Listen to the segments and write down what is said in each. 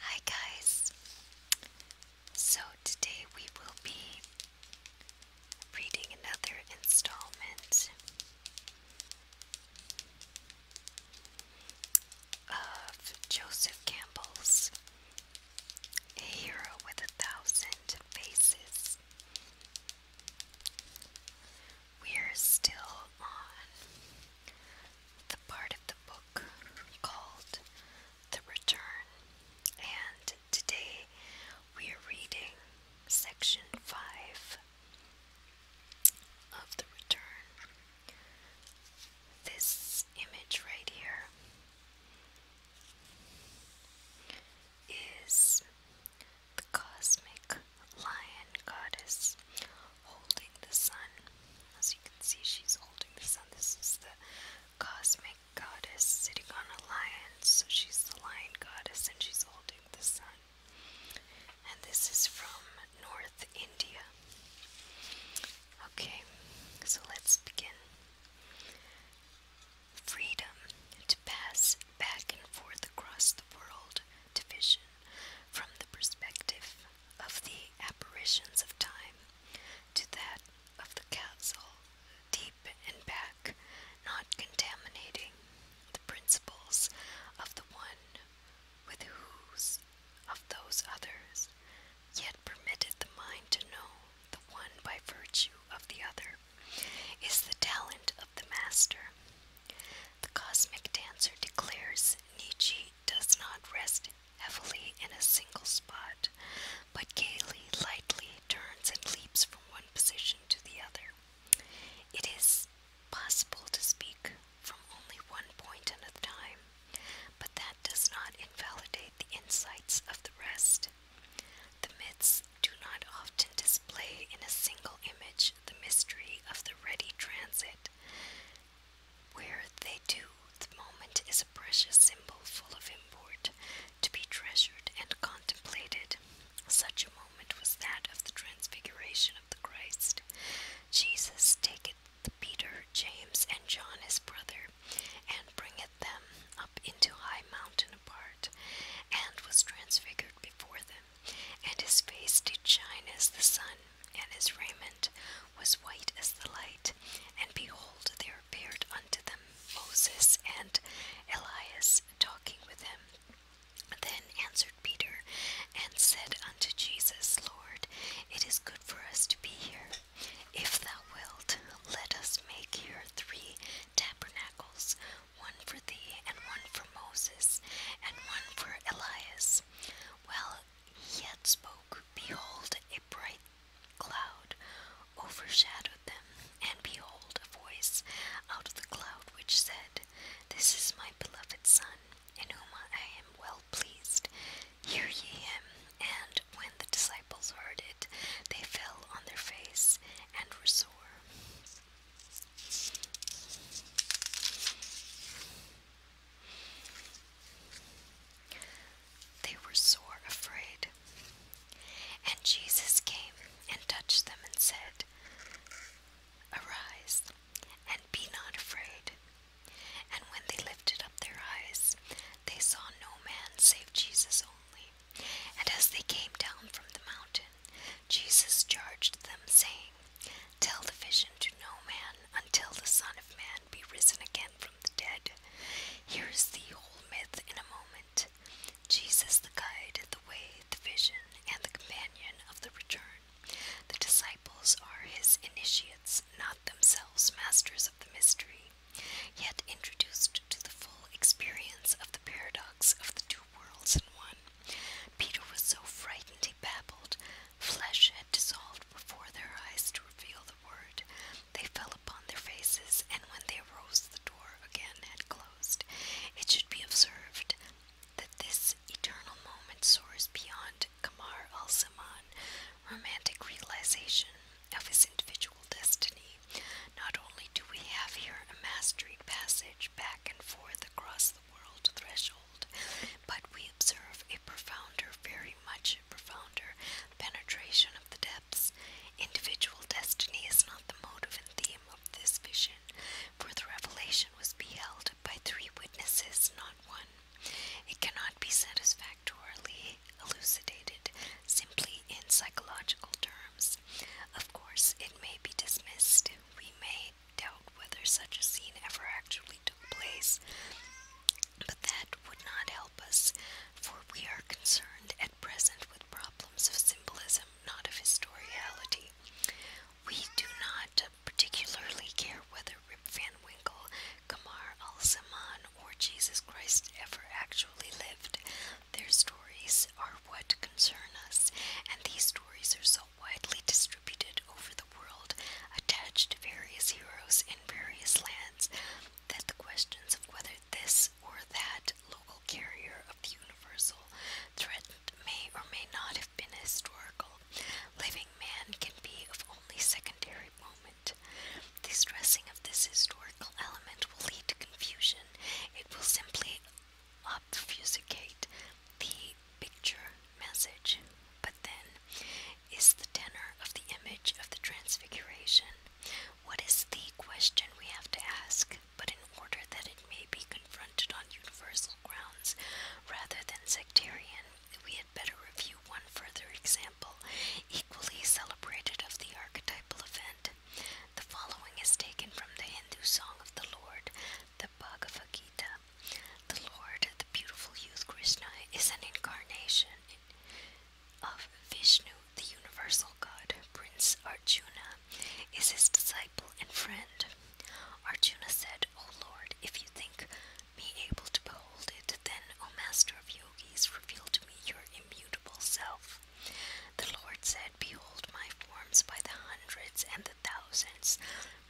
Hi guys! So today we will be reading another installment of Joseph Campbell's A Hero with a Thousand Faces. We're still on the part of the book called The Return, and today we are reading section 5 of The Return. This image right here is the cosmic lion goddess holding the sun. As you can see, she's holding the sun. This is the cosmic goddess sitting on a lion, so she's the lion goddess and she's holding the sun. And this is from North India. Okay, so let's begin. Freedom to pass back and forth across the world division from the perspective of the apparitions of time to that of the castle, deep and back, not contaminating the principles of the one with whose of those others, yet permitted the mind to know the one by virtue of the other, is the talent of the master. The cosmic dancer declares Nietzsche does not rest heavily in a single spot, but gaily, lightly turns and leaps from one position to the other. It is possible to speak from only one point at a time, but that does not invalidate the insights of the rest. The myths do not often display in a single image the mystery of the ready transit where they do, the moment is a precious symbol full of import, to be treasured and contemplated. Such a moment was that of the transfiguration of the Christ. Jesus taketh Peter, James, and John his brother, and bringeth them up into high mountain apart, and was transfigured before them and his face did shine as the sun, and his raiment was white as the light. And behold, there appeared unto them Moses and Elias talking with him. Then answered Peter and said unto Jesus, Lord, it is good for us to be here. If thou wilt, let us make here three tabernacles, one for thee, and one for Moses, and one for Elias. While he yet spoke, behold, a bright cloud overshadowed them, and behold, a voice out of the cloud which said, This is my beloved Son, in whom I am well pleased. Hear ye him. And when the disciples heard it, they fell on their face and were sore. They were sore afraid. And Jesus came and touched them and said, Arise and be not afraid. And when they lifted up their eyes, they saw no man save Jesus only. And as they came down from the mountain, Jesus charged them, saying, Tell the vision to no man until the Son of Man be risen again from the dead. Here is the whole myth in a moment. Jesus, the guide, the way, the vision, and the companion of the return. The disciples are his initiates, not themselves masters of the mystery, yet introduced to the full experience of the paradox of the two worlds in one. Peter was so frightened he babbled. Flesh had dissolved before their eyes to reveal the word. They fell upon their faces, and when they rose, the door again had closed. It should be observed that this eternal moment soars beyond Kamar al saman romantic realization of his individual destiny. Not only do we have here a mastery passage back and forth across the world threshold, but we observe a profounder, very much profounder, penetration of the depths. Individual destiny is not the motive and theme of this vision, for the revelation was beheld by three witnesses, not one. It cannot be satisfactorily elucidated simply in psychological terms. Of course, it may be dismissed. We may doubt whether such a scene ever actually took place, but that would not help us, for we are concerned at present with problems of symbolism, not of historiality. We do not particularly care whether Rip Van Winkle, Kamar al saman or Jesus Christ ever actually lived. Their stories are what concern us, and these stories are so widely distributed over the world, attached to various heroes in various lands, that the questions of whether this or that local carrier of the universal threatened may or may not have been historical, living man can be of only secondary moment. The stressing of this historical element will lead to confusion. It will simply obfuscate the picture message, but then is the tenor of the image of the transfiguration. What is the question we have to ask, but in order that it may be confronted on universal grounds rather than sectarian, we had better review one further example, equally celebrated of the archetypal event, the following is taken from the Hindu song of the Lord, the Bhagavad Gita. The Lord, the beautiful youth Krishna, is an incarnation of Vishnu, the universal god. Prince Arjuna is his disciple and friend. Arjuna said, O Lord, if you think me able to behold it, then, O Master of Yogis, reveal to me your immutable self. The Lord said, Behold my forms by the hundreds and the thousands,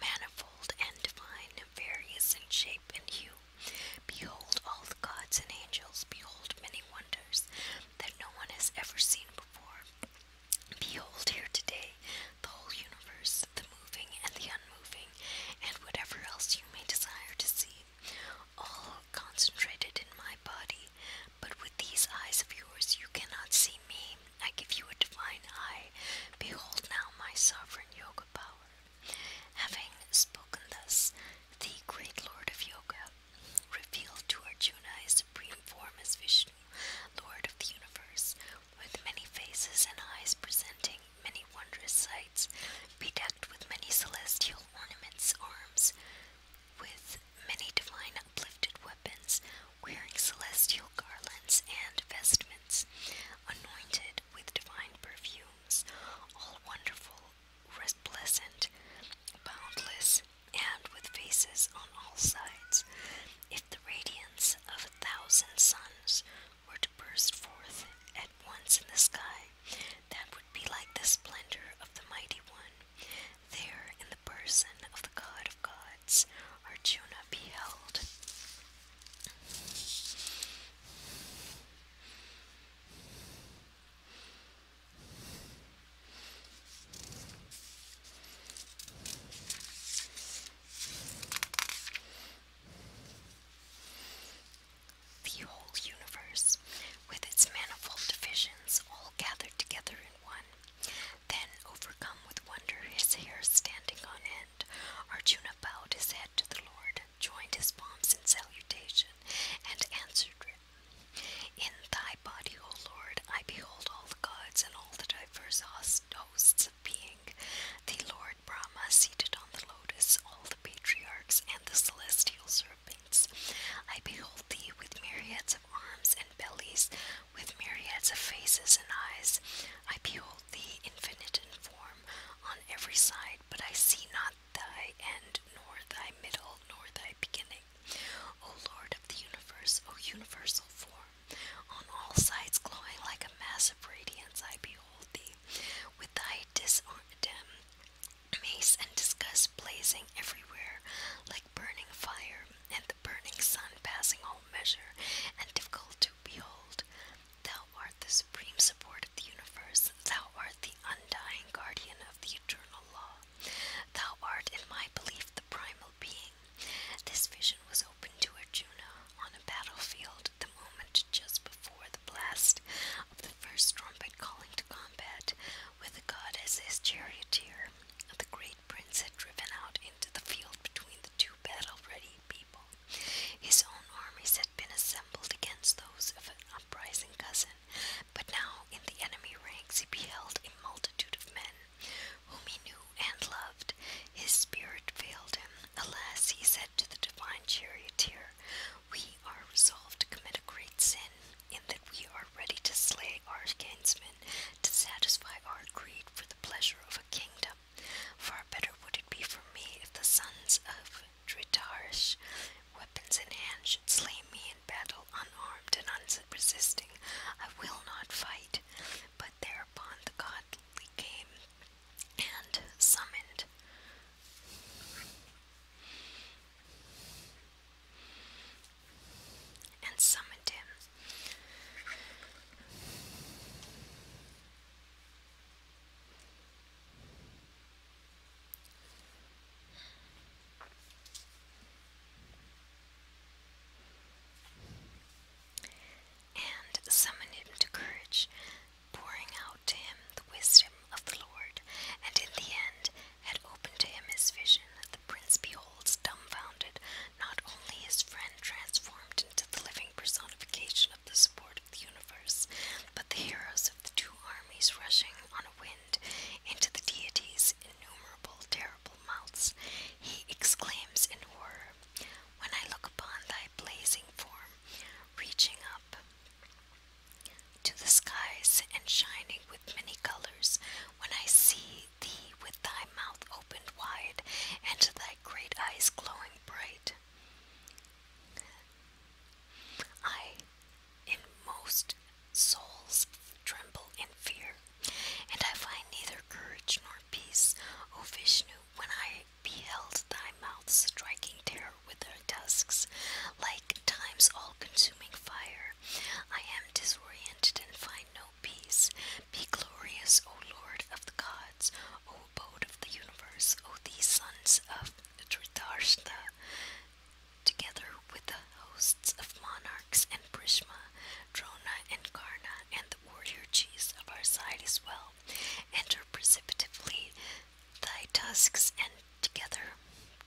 manifold and divine, various in shape and hue. Behold all the gods and angels, behold many wonders that no one has ever seen before. Behold here today the whole universe, the moving and the unmoving, and whatever else you may desire to see, all concentrated in my body, but with these eyes of yours you cannot see me. I give you a divine eye. Behold now my sovereign yoga power. Having spoken thus, the great lord of yoga revealed to Arjuna his supreme form as Vishnu, lord of the universe, with many faces and eyes presenting many wondrous sights, bedecked with many celestial ornaments, arms, with many divine uplifted weapons, wearing celestial garlands and vestments, anointed with divine perfumes, all wonderful, resplendent, boundless, and with faces on all sides. If the radiance of a thousand suns were to burst forth at once in the sky, that would be like the splendor of the mighty one. There, in the person of the God of Gods, are Juno beheld. The whole universe, with its manifold divisions, all gathered together one. Then, overcome with wonder, his hair standing on end, Arjuna bowed his head to the Lord, joined his palms in salutation, and answered him, In thy body, O Lord, I behold all the gods and all the diverse hosts of being, the Lord Brahma seated on the lotus, all the patriarchs and the celestial serpents. I behold thee with myriads of arms and bellies, with myriads of faces and eyes. I behold thee infinite in form on every side, but I see not thy end, nor thy middle, nor thy beginning. O Lord of the universe, O universal form, on all sides glowing like a mass of radiance, I behold thee with thy disarmed disarm Mace and disgust blazing everywhere, like burning fire, and the burning sun passing all measure, and difficult to behold. Thou art the supreme support of the universe, thou art the undying guardian of the eternal law, thou art, in my belief, the primal being. This vision was opened to Arjuna on a battlefield the moment just before the blast of the first trumpet calling to combat, with the his charioteer. The great prince had driven out into the field between the two battle ready people. His own armies had been assembled against those of an uprising cousin, but now in the enemy ranks he beheld a multitude of men whom he knew and loved. His spirit failed him. Alas, he said to the divine charioteer, We are resolved to commit a great sin, in that we are ready to slay our kinsmen to satisfy our greed for the pleasure of a kingdom. Far better would it be for me if the sons of Dritarsh, weapons in hand, should slay me in battle unarmed and unresisting. I will not fight. But thereupon the godly came and summoned and summoned him. And summoned him to courage, pouring out to him the wisdom of the Lord, and in the end had opened to him his vision, the prince beholds, dumbfounded, not only his friend transformed into the living personification of the support of the universe, but the heroes of the two armies rushing on a wind into the deity's innumerable terrible mouths. He exclaims in horror, When I look upon thy blazing form, reaching up to the skies and shining with many colors, when I see thee with thy mouth opened wide and thy great eyes glowing bright. I, in most souls, tremble in fear, and I find neither courage nor peace, O Vishnu, when I beheld thy mouth striking terror with their tusks, like time's all consuming fire. I am disoriented and find no peace. Be glorious, O Lord of the gods, O abode of the universe, O these sons of Dhritarshta, together with the hosts of monarchs and Brishma, Drona and Karna, and the warrior chiefs of our side as well, enter precipitately thy tusks and together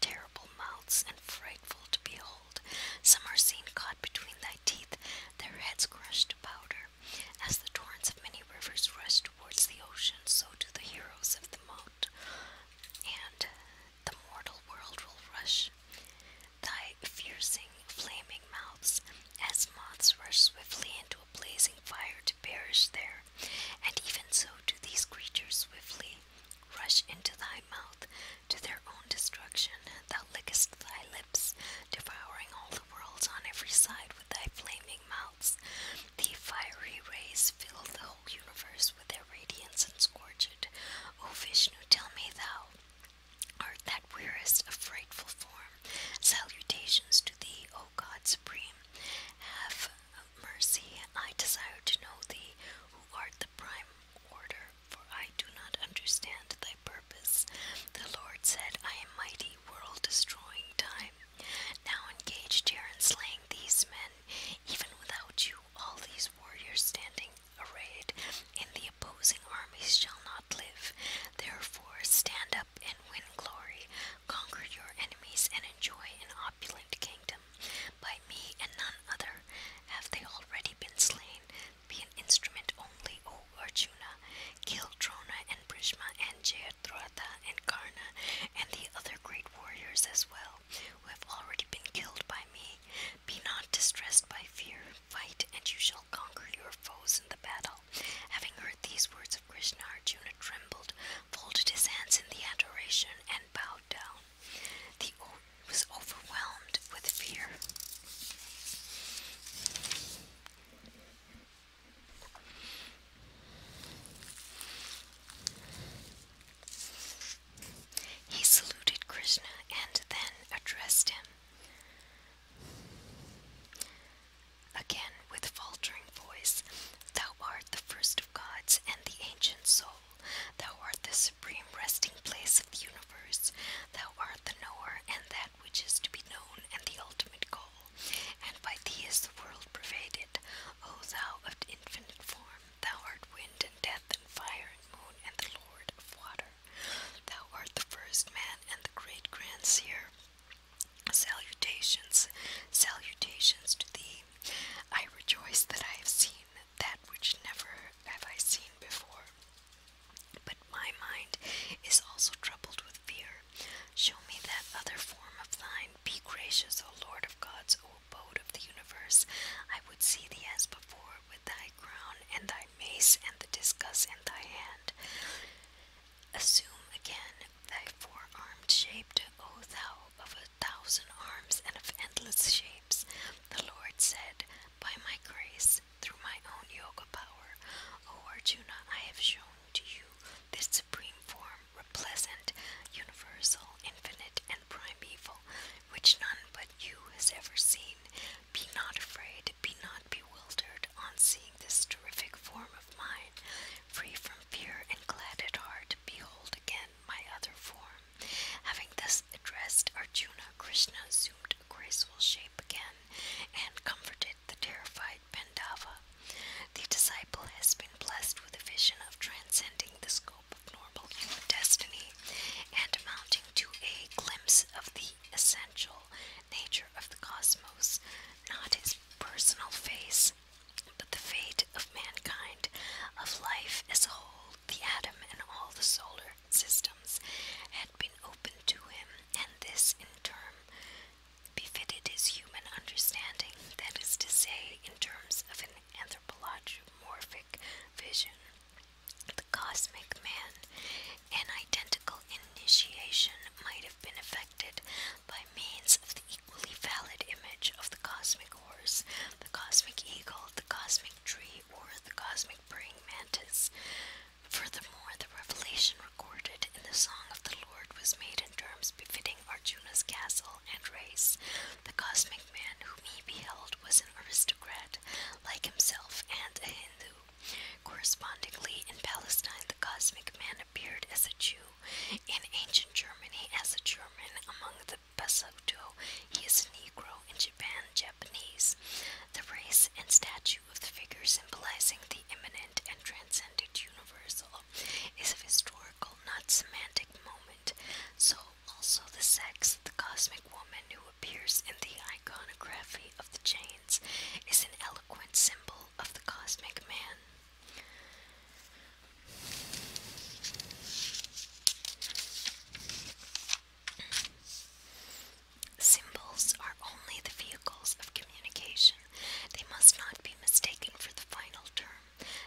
terrible mouths and frightful to behold. Some are seen caught between thy teeth, their heads crushed to powder. As the torrents of many rivers rush towards the ocean, so do the heroes of the mount, and the mortal world will rush. Thy piercing, flaming mouths, as moths rush swiftly into a blazing fire to perish there, and even so do these creatures swiftly rush into thy mouth to their own destruction. Thou lickest thy lips, devouring all the worlds on every side with thy flaming mouths. The fiery rays fill the whole universe with their radiance and scorch it. O Vishnu, tell me thou art that wearest a frightful form. Salutations to thee, O God Supreme. Have mercy, I desire to know thee, who art the prime order, for I do not understand thy purpose. The Lord said, I am mighty, world destroying time. Now engaged here in slaying these men, even without you, all these warriors standing arrayed in the opposing armies shall not live. Therefore, stand up and win glory, Conquer your enemies and enjoy an opulent kingdom. By me and none other have they already been slain. Be an instrument only, O Arjuna. Kill Drona and Brishma and Jayadrata and Karna and the other great warriors as well, who have already been killed by me. Be not distressed by fear. Fight, and you shall conquer your foes in the battle. Having heard these words presence of Krishna, Arjuna trembled, folded his hands in the adoration, and bowed down. The oath was overwhelmed with fear. He saluted Krishna and then addressed him. Again, with faltering voice, Thou art the first of gods and the ancient soul. Thou art the supreme resting place of the universe. Thou art the knower and that which is to be known and the ultimate goal. And by thee is the world pervaded. O thou of infinite form, thou art wind and death and fire and moon and the lord of water. Thou art the first man and the great grandsire. Salutations, salutations to thee. I rejoice that I have seen that which never have I seen before. But my mind is also troubled with fear. Show me that other form of thine. Be gracious, O Lord of gods, O abode of the universe. I would see thee as before, with thy crown and thy mace and the discus in thy hand. Assume again thy four armed shape, O thou of a thousand arms and of endless shapes. The Lord said, By my grace, through my own yoga power, O Arjuna, I have shown to you this supreme form, replacent, universal, infinite, and primeval, which none but you has ever seen. Be not afraid, be not bewildered on seeing this terrific form of mine, free from fear and glad at heart, behold again my other form. Having thus addressed Arjuna, Krishna assumed a graceful shape again and comforted the terrified Pandava. The disciple has been blessed with a vision of transcending the scope of normal human destiny and amounting to a glimpse of the essential nature of the cosmos, not his personal face, but the fate of mankind, of life as a whole, the atom, and all the solar systems had been open to him, and this in turn befitted his human understanding, that is to say, in terms of an anthropomorphic vision. The cosmic man, an identical initiation, might might have been effected by means of the equally valid image of the cosmic horse, the cosmic eagle, the cosmic tree, or the cosmic praying mantis. Furthermore, the revelation recorded in the Song of the Lord was made in terms befitting Arjuna's castle and race. The cosmic man whom he beheld was an aristocrat, like himself, and a Hindu. Correspondingly, in Palestine, the cosmic man appeared as a Jew in ancient Germany, as a German among the Basoto, he is a Negro in Japan, Japanese. The race and statue of the figure symbolizing the immanent and transcendent universal is of historical, not semantic moment. So also the sex, the cosmic woman who appears in the iconography of the Jains, is an eloquent symbol of the cosmic man. Symbols are only the vehicles of communication. They must not be mistaken for the final term,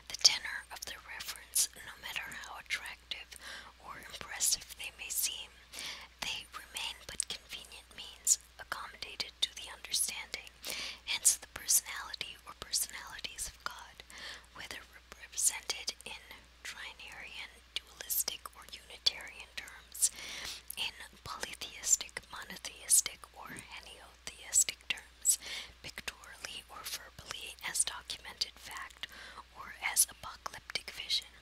the tenor of the reference, no matter how attractive or impressive they may seem. They remain but convenient means accommodated to the understanding, hence the personality or personalities of God, whether represented in trinarian, dualistic, or unitarian terms, in polytheistic, monotheistic, or henotheistic terms, pictorially or verbally, as documented fact, or as apocalyptic vision.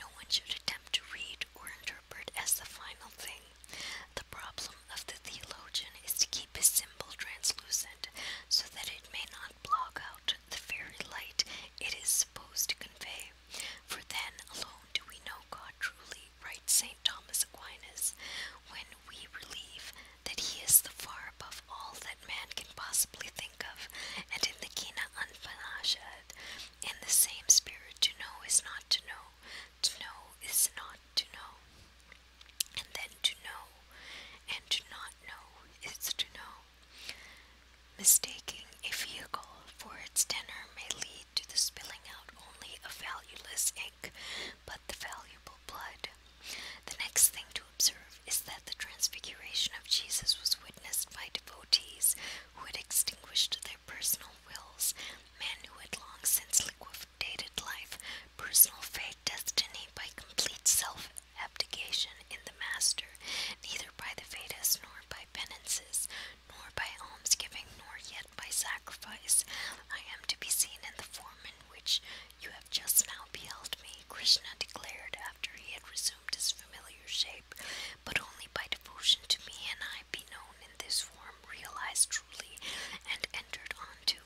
No one should attempt to read or interpret interpret as the final thing. The problem of the theologian is to keep his symbol translucent so that it may not block out the very light it is supposed to convey. For then alone do we know God truly, writes St. Thomas Aquinas, when we believe that he is the far above all that man can possibly think of, and in the Kina Anpanashad, in the same spirit, to know is not to know, to know is not to know, and then to know and to not know is to know. Mistaking a vehicle for its dinner may lead to the spilling out only of valueless ink, but the valuable blood. The next thing to observe is that the transfiguration of Jesus was witnessed by devotees who had extinguished their personal wills men who had long since liquidated life, personal fate, destiny, by complete self abdication in the master, neither by the Vedas nor by penances, nor by almsgiving, nor yet by sacrifice. I am to be seen in the form in which you have just now beheld me, Krishna declared after he had resumed his familiar shape, but only by devotion to me, and I be known in this form, realized truly, and entered onto.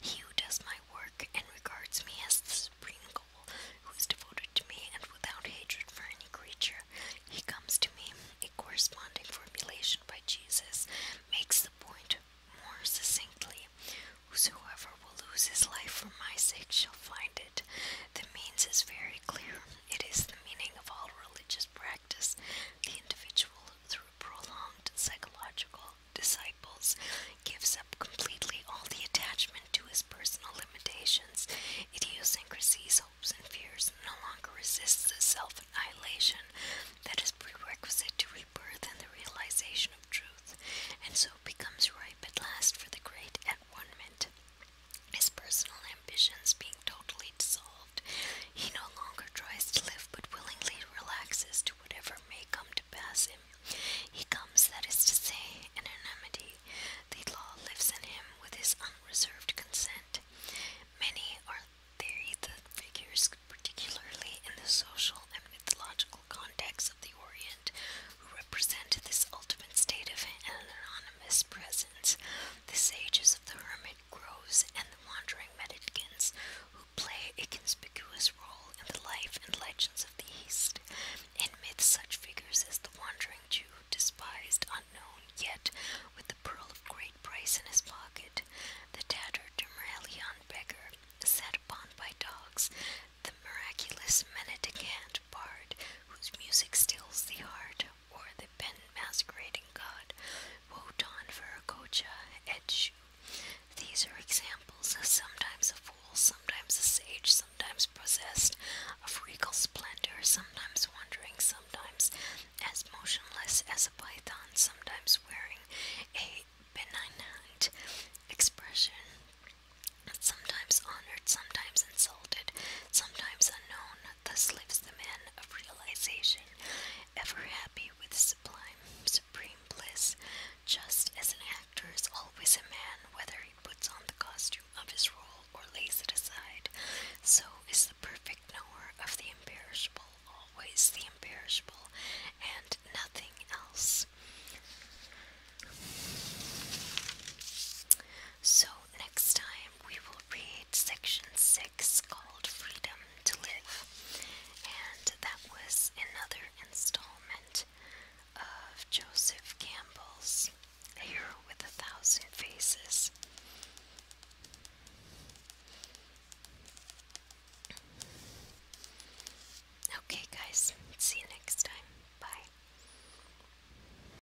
He who does my work and regards me as the supreme goal, who is devoted to me and without hatred for any creature, he comes to me. A corresponding formulation by Jesus makes the point more succinctly. Whosoever will lose his life for my sake shall find it. The means is very clear. It is the meaning of all religious practice the individual through prolonged psychological disciples gives up completely all the attachment to his personal limitations, idiosyncrasies, hopes, and fears, and no longer resists the self-annihilation that is prerequisite to rebirth and the realization of truth, and so becomes ripe at last for the great at one moment his personal ambitions being totally dissolved, he no longer tries to live but willingly relaxes to whatever may come to pass him. He comes, that is to say, in anonymity. The law lives in him with his unreserved consent. Many are they the figures, particularly in the social and mythological context of the Orient, who represent this ultimate state of an venomous presence, the sages of the hermit groves, and the wandering mendicants who play a conspicuous role in the life and legends of the East. In midst such figures as the wandering Jew, despised, unknown, yet with the pearl of great price in his pocket, the tattered Dumerian beggar, set upon by dogs, the miraculous mendicant bard, whose music stills the heart or the pen masquerading god, Wotan Viracocha, Edshu. These are examples, sometimes a fool, sometimes a sage, sometimes possessed of regal splendor, sometimes wandering, sometimes as motionless as a python, sometimes wearing a benignant expression, sometimes honored, sometimes insulted, sometimes unknown, thus lives the man of realization, ever happy with sublime, supreme bliss, just as an actor is always a man, whether he puts on the costume of his role or lays it aside, so is the perfect knower of the imperishable, always the imperishable, and nothing else. So, next time we will read section 6 called Freedom to Live. And that was another installment of Joseph Campbell's A Hero with a Thousand Faces. Okay, guys, see you next time. Bye.